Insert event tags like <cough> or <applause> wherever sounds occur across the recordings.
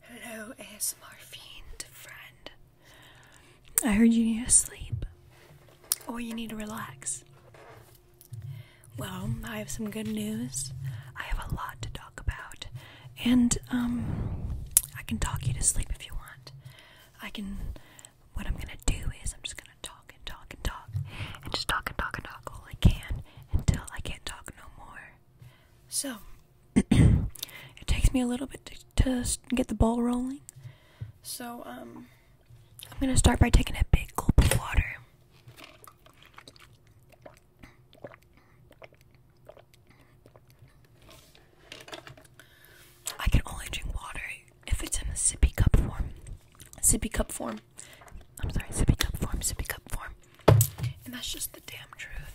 Hello, ASMR friend. I heard you need to sleep. Or you need to relax. Well, I have some good news. I have a lot to talk about. And, um, I can talk you to sleep if you want. I can. What I'm gonna do is I'm just gonna talk and talk and talk. And just talk and talk and talk all I can until I can't talk no more. So, <clears throat> it takes me a little bit to, get the ball rolling. So, um, I'm gonna start by taking a big gulp of water. I can only drink water if it's in a sippy cup form. Sippy cup form. I'm sorry, sippy cup form, sippy cup form. And that's just the damn truth.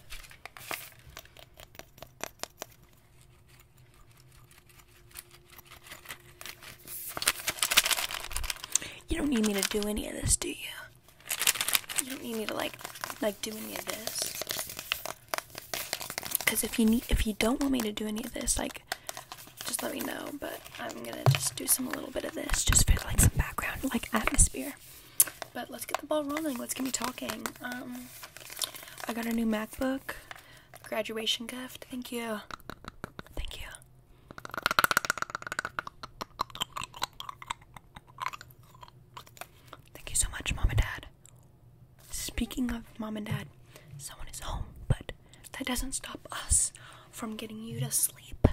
You don't need me to do any of this, do you? You don't need me to like like do any of this. Cause if you need if you don't want me to do any of this, like just let me know. But I'm gonna just do some little bit of this just for like some background like atmosphere. But let's get the ball rolling. Let's get me talking. Um, I got a new MacBook. Graduation gift. Thank you. Thank you. Thank you so much, Mom and Dad. Speaking of Mom and Dad, someone is home, but that doesn't stop us from getting you to sleep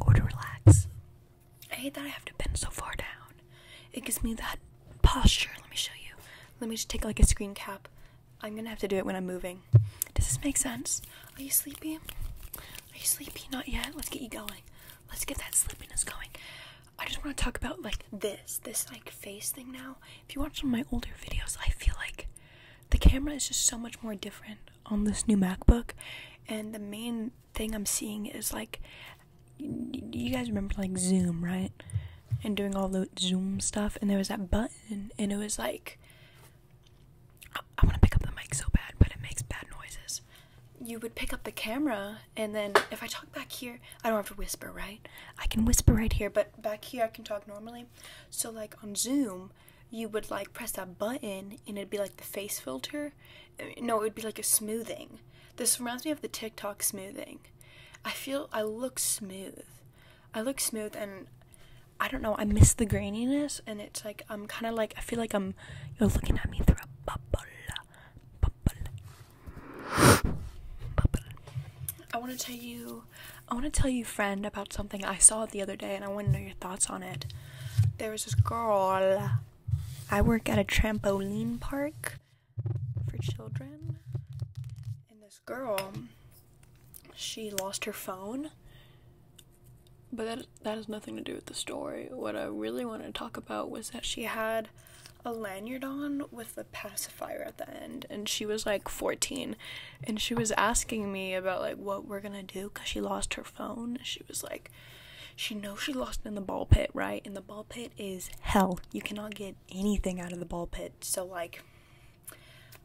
or to relax I hate that I have to bend so far down. It gives me that posture. Let me show you. Let me just take like a screen cap. I'm gonna have to do it when I'm moving. Does this make sense? Are you sleepy? Are you sleepy? Not yet. Let's get you going. Let's get that slippiness going. I just want to talk about like this, this like face thing now. If you watch some of my older videos, I feel like the camera is just so much more different on this new MacBook. And the main thing I'm seeing is like, you guys remember like Zoom, right? And doing all the Zoom stuff, and there was that button, and it was like, I, want to pick up the mic so bad, but it makes bad noises. You would pick up the camera, and then if I talk back here, I don't have to whisper, right? I can whisper right here, but back here I can talk normally. So, like on Zoom, you would like press that button, and it'd be like the face filter, no, it would be like a smoothing. This reminds me of the TikTok smoothing. I feel I look smooth. I look smooth and I don't know, I miss the graininess and it's like I'm kind of like I feel like I'm you're looking at me through a bubble. Bubble. I want to tell you I want to tell you friend about something I saw the other day and I want to know your thoughts on it. There was this girl I work at a trampoline park for children. And this girl, she lost her phone. But that, that has nothing to do with the story. What I really wanted to talk about was that she had a lanyard on with a pacifier at the end and she was like 14 and she was asking me about like what we're gonna do because she lost her phone she was like she knows she lost in the ball pit, right? And the ball pit is hell. You cannot get anything out of the ball pit. So like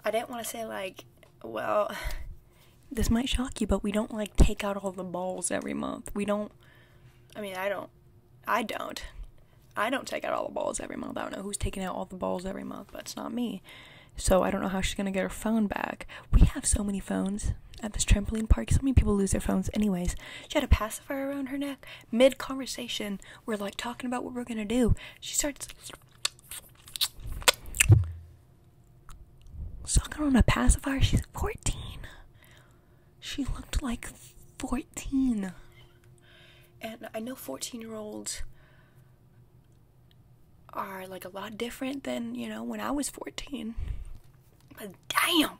I didn't want to say like, well, <sighs> this might shock you, but we don't like take out all the balls every month. We don't I mean, I don't I don't. I don't take out all the balls every month. I don't know who's taking out all the balls every month, but it's not me. So I don't know how she's going to get her phone back we have so many phones at this trampoline park. So many people lose their phones. Anyways, she had a pacifier around her neck. Mid conversation, we're like talking about what we're gonna do. She starts sucking on a pacifier. She's 14. She looked like 14. And I know 14 year olds are like a lot different than, you know, when I was 14. But damn,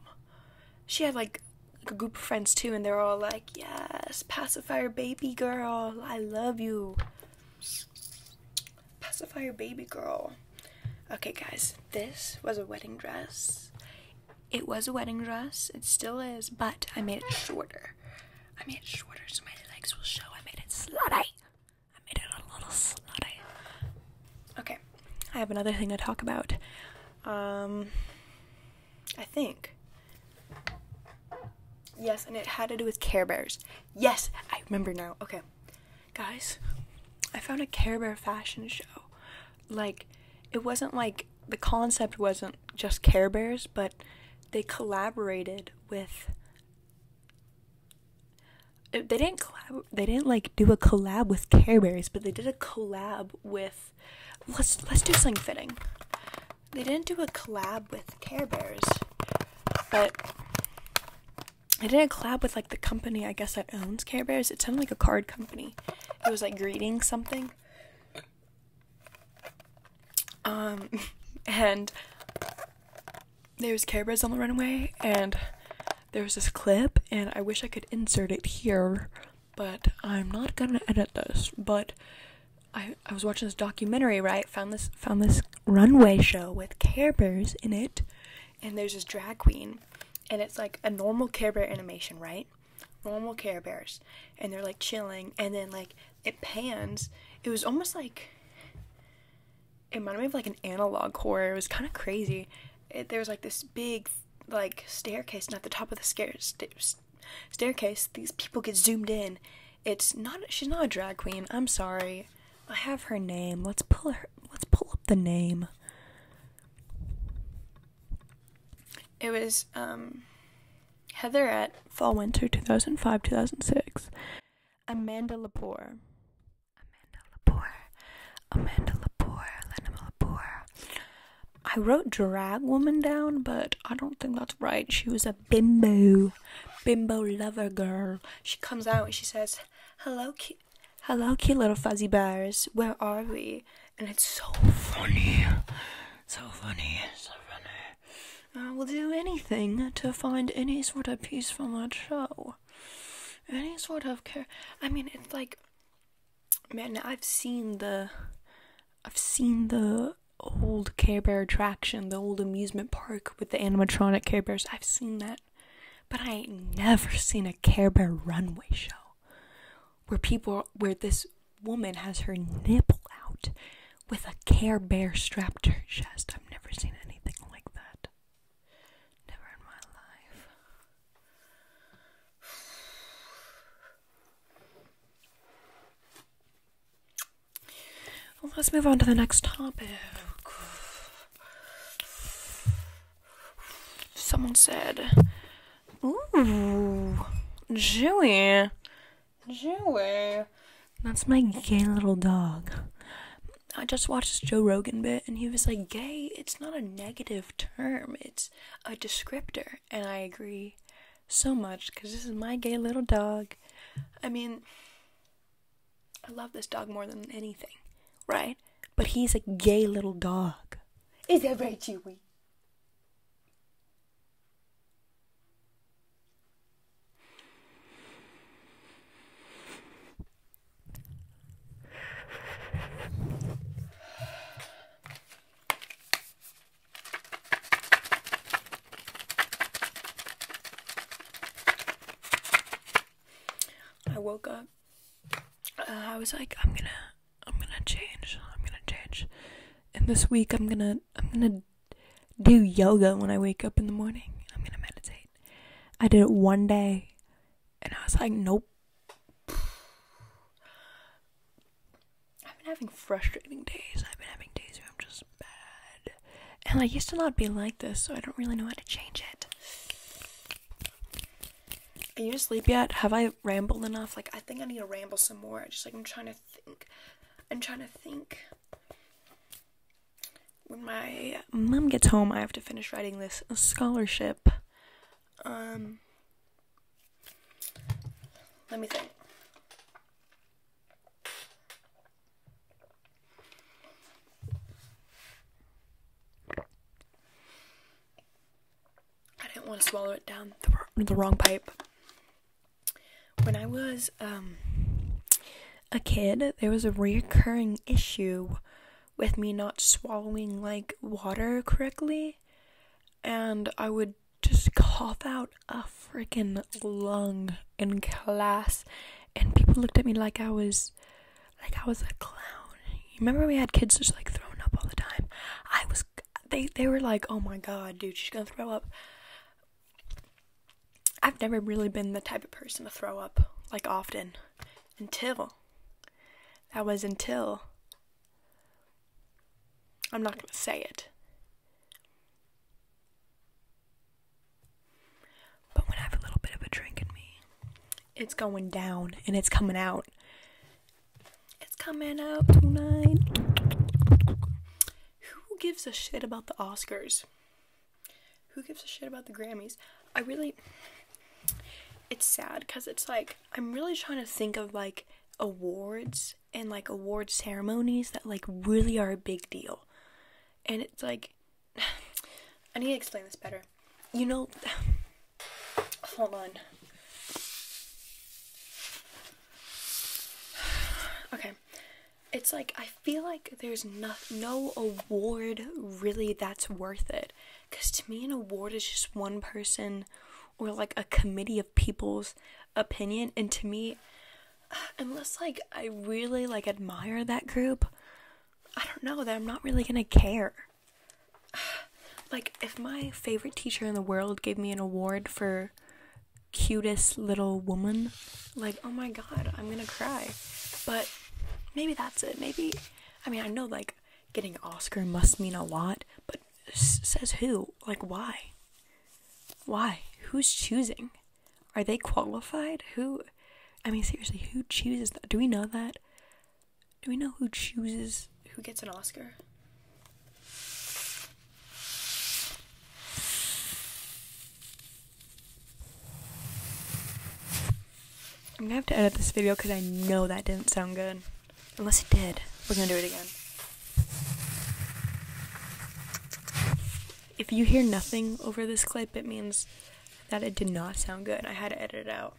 she had like a group of friends too, and they're all like, "Yes, pacifier baby girl, I love you." Pacifier baby girl. Okay, guys, this was a wedding dress. It was a wedding dress. It still is, but I made it shorter. I made it shorter so my legs will show. I made it slutty. I made it a little snotty. Okay, I have another thing to talk about. Um, I think. Yes, and it had to do with Care Bears. Yes, I remember now. Okay, guys, I found a Care Bear fashion show. Like, it wasn't like the concept wasn't just Care Bears, but they collaborated with they didn't they didn't like do a collab with Care Bears, but they did a collab with let's let's do something fitting. They didn't do a collab with Care Bears, but I did a collab with like the company I guess that owns Care Bears. It sounded like a card company. It was like greeting something. Um <laughs> and there was Care Bears on the runway and there's this clip and I wish I could insert it here, but I'm not gonna edit this. But I, I was watching this documentary, right? Found this found this runway show with Care Bears in it, and there's this drag queen, and it's like a normal Care Bear animation, right? Normal Care Bears, and they're like chilling, and then like it pans. It was almost like it reminded me of like an analog horror. It was kind of crazy. there was like this big like staircase, and at the top of the stair- staircase, these people get zoomed in. It's not. She's not a drag queen. I'm sorry. I have her name. Let's pull her. Let's pull up the name. It was um, Heather at Fall Winter 2005 2006. Amanda Lepore. Amanda Lepore. Amanda Lepore. Lenema Lepore. I wrote drag woman down, but I don't think that's right. She was a bimbo, bimbo lover girl. She comes out and she says, "Hello, cute, hello, cute little fuzzy bears. Where are we?" And it's so funny, so funny, so funny. I uh, will do anything to find any sort of piece from that show any sort of care. I mean, it's like, man, I've seen the, I've seen the old Care Bear attraction, the old amusement park with the animatronic Care Bears. I've seen that, but I ain't never seen a Care Bear runway show where people, where this woman has her nipple out with a Care Bear strapped to her chest. I've never seen anything like that. Never in my life. let's move on to the next topic. Someone said, Ooh, Joey. Joey. That's my gay little dog. I just watched Joe Rogan bit and he was like, gay, it's not a negative term, it's a descriptor. And I agree so much because this is my gay little dog. I mean, I love this dog more than anything, right? But he's a gay little dog. Is that right, Chewy? I woke up. Uh, I was like, I'm gonna, I'm gonna change. I'm gonna change. And this week, I'm gonna, I'm gonna do yoga when I wake up in the morning. I'm gonna meditate. I did it one day, and I was like, nope. I've been having frustrating days. I've been having days where I'm just bad. And I used to not be like this, so I don't really know how to change it. Are you asleep yet? Have I rambled enough? Like, I think I need to ramble some more. Just like, I'm trying to think. I'm trying to think when my mom gets home, I have to finish writing this scholarship. Um, let me think. I didn't want to swallow it down the, the wrong pipe. When I was um, a kid, there was a reoccurring issue with me not swallowing like water correctly, and I would just cough out a freaking lung in class, and people looked at me like I was like I was a clown. You remember we had kids just like throwing up all the time. I was they they were like, "Oh my god, dude, she's going to throw up." I've never really been the type of person to throw up like often until that was until. I'm not going to say it. But when I have a little bit of a drink in me, it's going down and it's coming out. It's coming out tonight. Who gives a shit about the Oscars? who gives a shit about the Grammys? I really it's sad cuz it's like I'm really trying to think of like awards and like award ceremonies that like really are a big deal. And it's like <sighs> I need to explain this better. You know <sighs> Hold on. <sighs> Okay. It's like I feel like there's no no award really that's worth it. Because to me, an award is just one person or like a committee of people's opinion. And to me, <sighs> unless like I really like admire that group, I don't know that I'm not really gonna care. <sighs> Like, if my favorite teacher in the world gave me an award for cutest little woman, like, oh my god, I'm gonna cry. But maybe that's it. Maybe I mean, I know like getting an Oscar must mean a lot, but says who? Like, why? Why? Who's choosing? Are they qualified? Who? I mean, seriously, who chooses Do we know that? Do we know who chooses who gets an Oscar? I'm gonna have to edit this video because I know that didn't sound good. Unless it did. We're gonna do it again. If you hear nothing over this clip, it means that it did not sound good. I had to edit it out.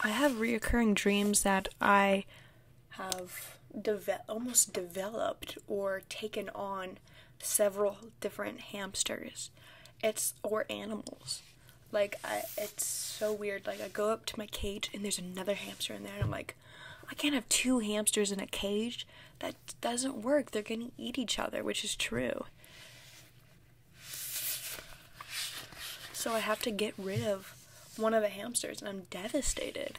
I have reoccurring dreams that I have deve- almost developed or taken on several different hamsters. It's or animals. Like I, it's so weird. Like I go up to my cage and there's another hamster in there, and I'm like, I can't have two hamsters in a cage. That doesn't work. They're gonna eat each other, which is true. So I have to get rid of one of the hamsters and I'm devastated.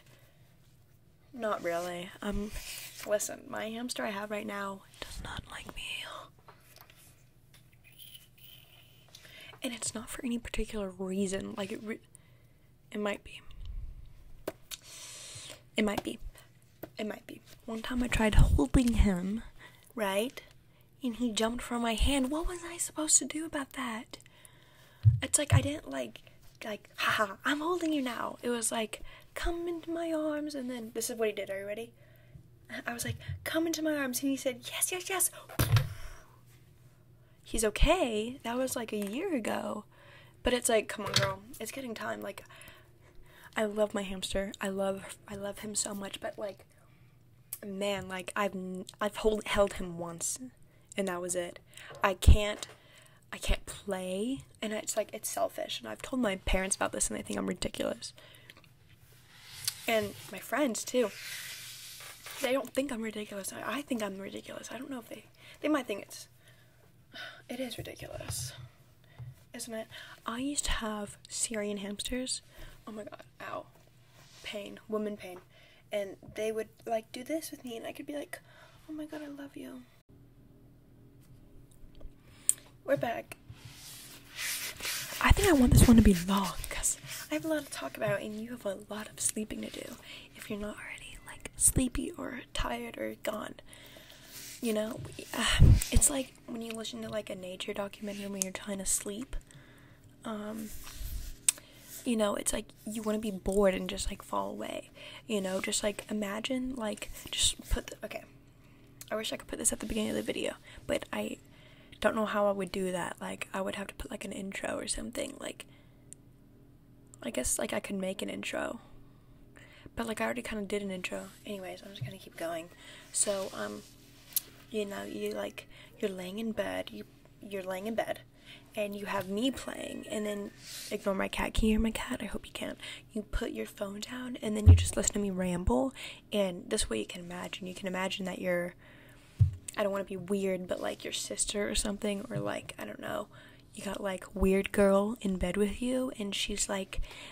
Not really. Um listen, my hamster I have right now does not like me. And it's not for any particular reason. Like it it might be. It might be. It might be. One time I tried holding him, right? And he jumped from my hand. What was I supposed to do about that? It's like I didn't like like haha, I'm holding you now. It was like come into my arms and then this is what he did. Are you ready? I was like, "Come into my arms." And he said, "Yes, yes, yes." He's okay. That was like a year ago. But it's like, "Come on, girl. It's getting time." Like I love my hamster. I love I love him so much, but like man, like I've I've hold, held him once and that was it. I can't I can't play and it's like it's selfish and I've told my parents about this and they think I'm ridiculous. And my friends too. They don't think I'm ridiculous. I, I think I'm ridiculous. I don't know if they they might think it's it is ridiculous isn't it? I used to have Syrian hamsters. Oh my god, ow. Pain, woman pain. And they would like do this with me, and I could be like, oh my god, I love you. We're back. I think I want this one to be long because I have a lot to talk about, and you have a lot of sleeping to do if you're not already like sleepy or tired or gone. You know, uh, it's like when you listen to like a nature documentary when you're trying to sleep. Um, you know, it's like you want to be bored and just like fall away. You know, just like imagine like just put okay. I wish I could put this at the beginning of the video, but I don't know how I would do that. Like I would have to put like an intro or something. Like I guess like I could make an intro. But like I already kind of did an intro. Anyways, I'm just going to keep going. So, um you know, you like you're laying in bed, you you're laying in bed, and you have me playing, and then ignore my cat. Can you hear my cat? I hope you can. not You put your phone down, and then you just listen to me ramble, and this way you can imagine. You can imagine that you're. I don't want to be weird, but like your sister or something, or like I don't know, you got like weird girl in bed with you and she's like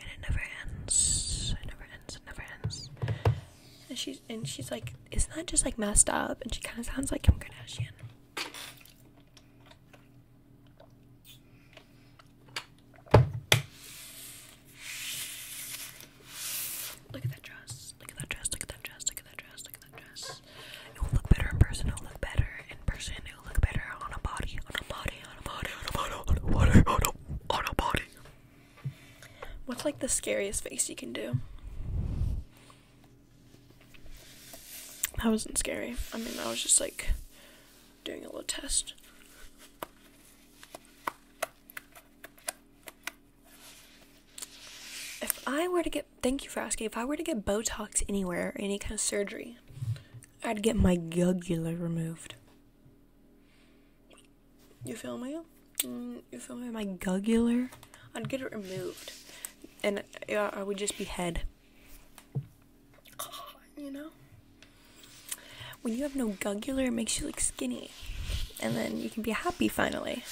and it never ends. It never ends. It never ends. And she's and she's like, isn't that just like messed up? And she kind of sounds like Kim Kardashian. Look at that dress. Look at that dress. Look at that dress. Look at that dress. Look at that dress. It will look better in person. It will look better in person look better on a body, on a body, on a body, on a body, on a body, on a, body. What's like the scariest face you can do? That wasn't scary. I mean, I was just like doing a little test. If I were to get, thank you for asking, if I were to get Botox anywhere or any kind of surgery, I'd get my jugular removed. You feel me? Mm, you feel me? My jugular? I'd get it removed. And uh, I would just be head. <sighs> You know? When you have no jugular, it makes you look skinny. And then you can be happy finally.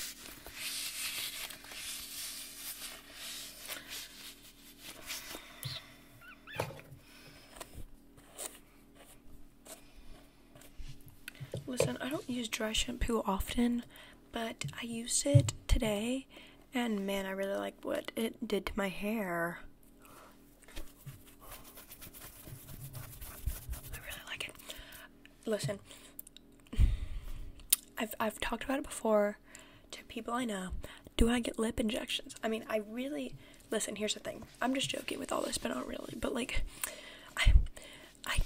Listen, I don't use dry shampoo often, but I used it today, and man, I really like what it did to my hair. I really like it. Listen, I've I've talked about it before to people I know, do I get lip injections? I mean, I really listen. Here's the thing. I'm just joking with all this, but not really. But like, I. I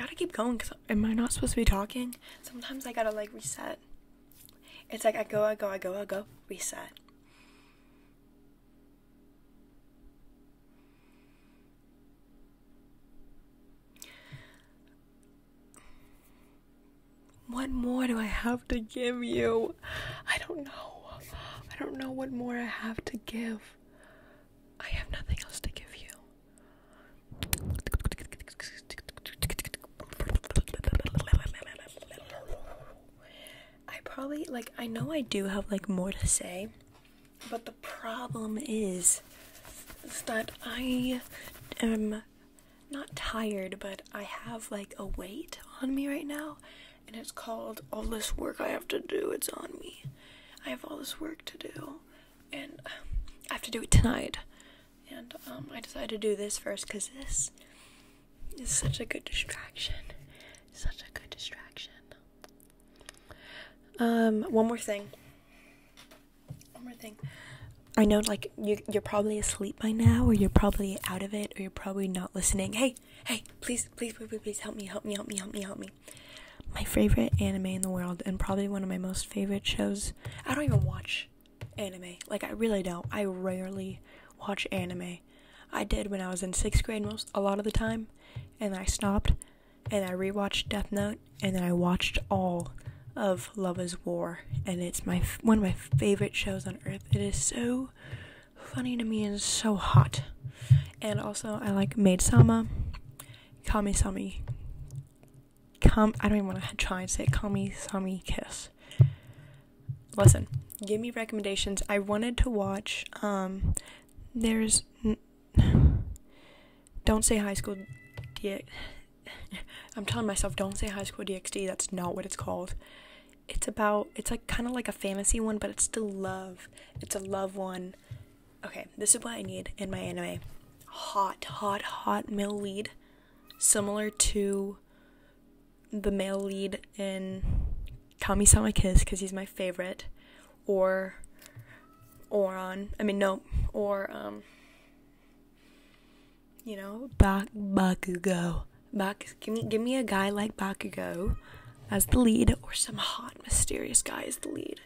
gotta keep going because am I not supposed to be talking? Sometimes I gotta like reset. It's like I go, I go, I go, I go, reset. What more do I have to give you? I don't know. I don't know what more I have to give. I have nothing else to give you. I probably like I know I do have like more to say, but the problem is, that I am not tired, but I have like a weight on me right now, and it's called all this work I have to do. It's on me. I have all this work to do, and I have to do it tonight and um, I decided to do this first because this is such a good distraction. Such a good distraction. Um, one more thing. One more thing. I know, like you, you're probably asleep by now, or you're probably out of it, or you're probably not listening. Hey, hey, please, please, please, please, please help me, help me, help me, help me, help me. My favorite anime in the world, and probably one of my most favorite shows. I don't even watch anime. Like, I really don't. I rarely watch anime. I did when I was in sixth grade most a lot of the time, and I stopped, and I rewatched Death Note, and then I watched all of Love Is War, and it's my one of my favorite shows on earth. It is so funny to me and so hot. And also, I like Maid Sama, Kami Sami, come I don't even want to <laughs> try and say Call me, call me, Kiss. Listen, give me recommendations. I wanted to watch um, there's <sighs> Don't Say High School DX <laughs> I'm telling myself Don't Say High School DxD. That's not what it's called. It's about it's like kind of like a fantasy one, but it's still love. It's a love one. Okay, this is what I need in my anime. Hot, hot, hot male similar to the male lead in Kami-sama Kiss because he's my favorite, or or on I mean, no, or um, you know, Bak- Bakugo. Bak, give me give me a guy like Bakugo as the lead, or some hot mysterious guy as the lead,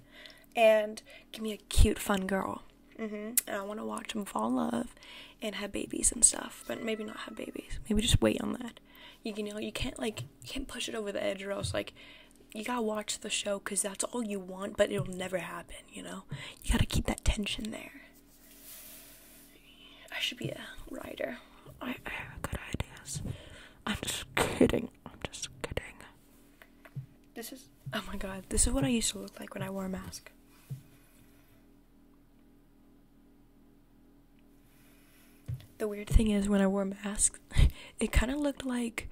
and give me a cute, fun girl. Mm-hmm. And I want to watch them fall in love and have babies and stuff. But maybe not have babies. Maybe just wait on that. You, you know, you can't like you can't push it over the edge or else like you gotta watch the show because that's all you want, but it'll never happen. You know, you gotta keep that tension there. I should be a writer. I, I have good ideas. I'm just kidding. I'm just kidding. This is Oh my god, this is what I used to look like when I wore a mask. The weird thing is, when I wore a mask, <laughs> it kind of looked like.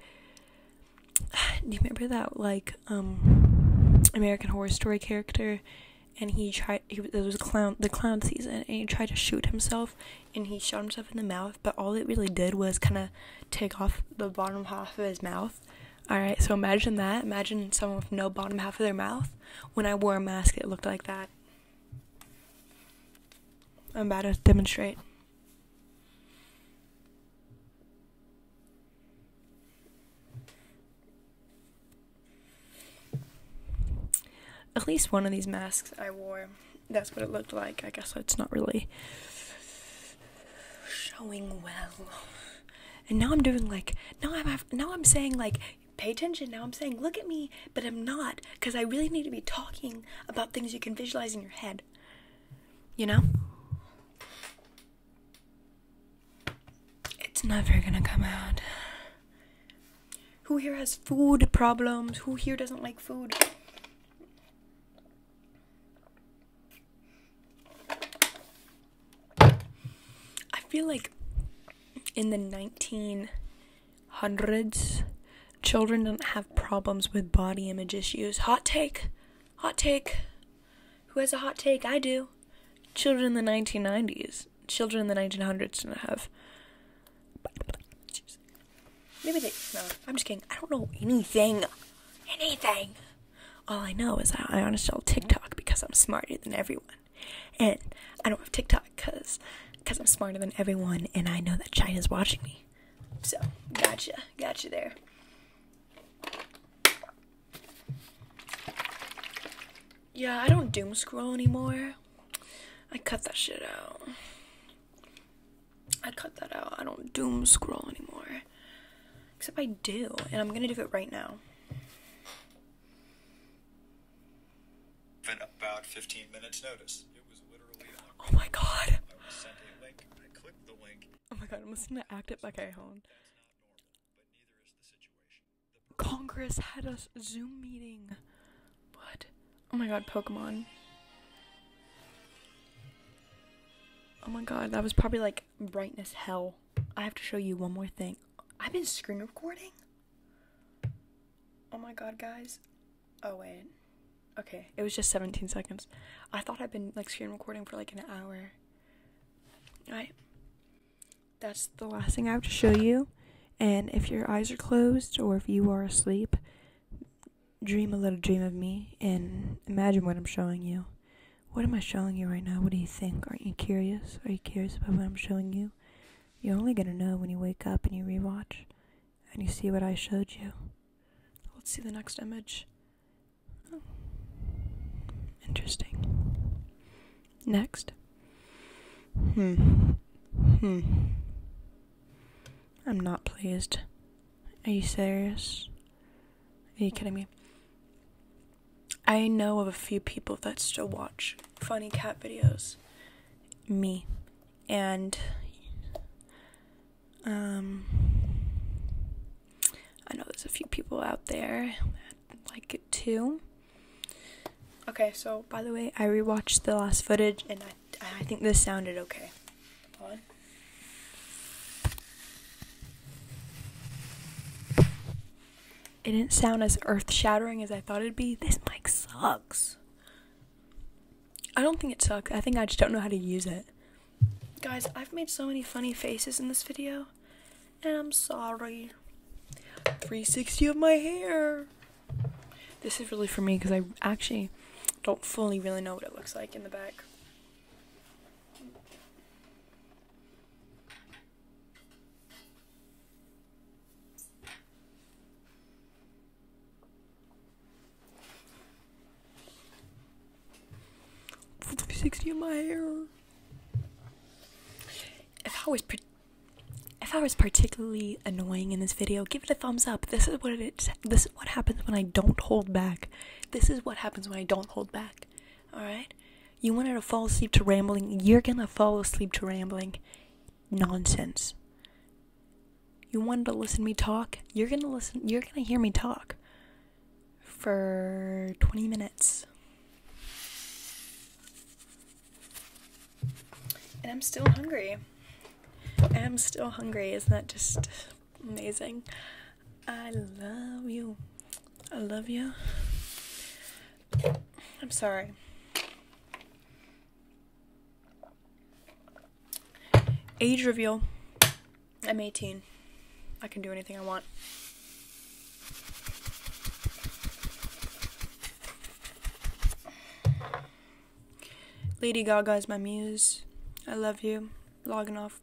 <sighs> Do you remember that like um, American Horror Story character, and he tried. He, it was clown the clown season, and he tried to shoot himself, and he shot himself in the mouth. But all it really did was kind of take off the bottom half of his mouth, all right, so imagine that. Imagine someone with no bottom half of their mouth. When I wore a mask, it looked like that. I'm about to demonstrate. At least one of these masks I wore, that's what it looked like. I guess it's not really showing well. And now I'm doing like now I'm now I'm saying like pay attention. Now I'm saying look at me, but I'm not because I really need to be talking about things you can visualize in your head. You know? It's never gonna come out. Who here has food problems? Who here doesn't like food? I feel like in the 1900s, children don't have problems with body image issues. Hot take. Hot take. Who has a hot take? I do. Children in the 1990s. Children in the 1900s didn't have. Maybe they. No, I'm just kidding. I don't know anything. Anything. All I know is I uninstalled TikTok because I'm smarter than everyone. And I don't have TikTok because cause I'm smarter than everyone and I know that China's watching me. So, gotcha. Gotcha there. Yeah, I don't doom scroll anymore. I cut that shit out. I cut that out. I don't doom scroll anymore. Except I do, and I'm gonna do it right now. In about 15 minutes notice. It was literally Oh my god. I was sent a link. I clicked the link. Oh my god, I'm just going to Act It by okay, Cajon. Congress had a Zoom meeting. What? Oh my god, Pokemon. Oh my god, that was probably like Brightness hell. I have to show you one more thing. I've been screen recording. Oh my god, guys. Oh wait. Okay, it was just 17 seconds. I thought I'd been like screen recording for like an hour. Alright. That's the last thing I have to show you. And if your eyes are closed or if you are asleep, dream a little dream of me and imagine what I'm showing you. What am I showing you right now? What do you think? Aren't you curious? Are you curious about what I'm showing you? You're only gonna know when you wake up and you rewatch and you see what I showed you. Let's see the next image. Oh. Interesting. Next. Hmm. Hmm. I'm not pleased. Are you serious? Are you kidding me? I know of a few people that still watch funny cat videos. Me. And um I know there's a few people out there that like it too. Okay, so by the way, I rewatched the last footage and I I think this sounded okay. It didn't sound as earth shattering as I thought it'd be. This mic sucks. I don't think it sucks. I think I just don't know how to use it. Guys, I've made so many funny faces in this video, and I'm sorry. 360 of my hair. This is really for me because I actually don't fully really know what it looks like in the back. 60 in my hair. If I was if I was particularly annoying in this video, give it a thumbs up. This is what it is. This is what happens when I don't hold back. This is what happens when I don't hold back. Alright? You wanted to fall asleep to rambling, you're gonna fall asleep to rambling nonsense. You wanted to listen me talk, you're gonna listen, you're gonna hear me talk for 20 minutes. And I'm still hungry. I'm still hungry. Isn't that just Amazing. I love you. I love you. I'm sorry. Age reveal. I'm 18. I can do anything I want. Lady Gaga is my muse. I love you. Logging off.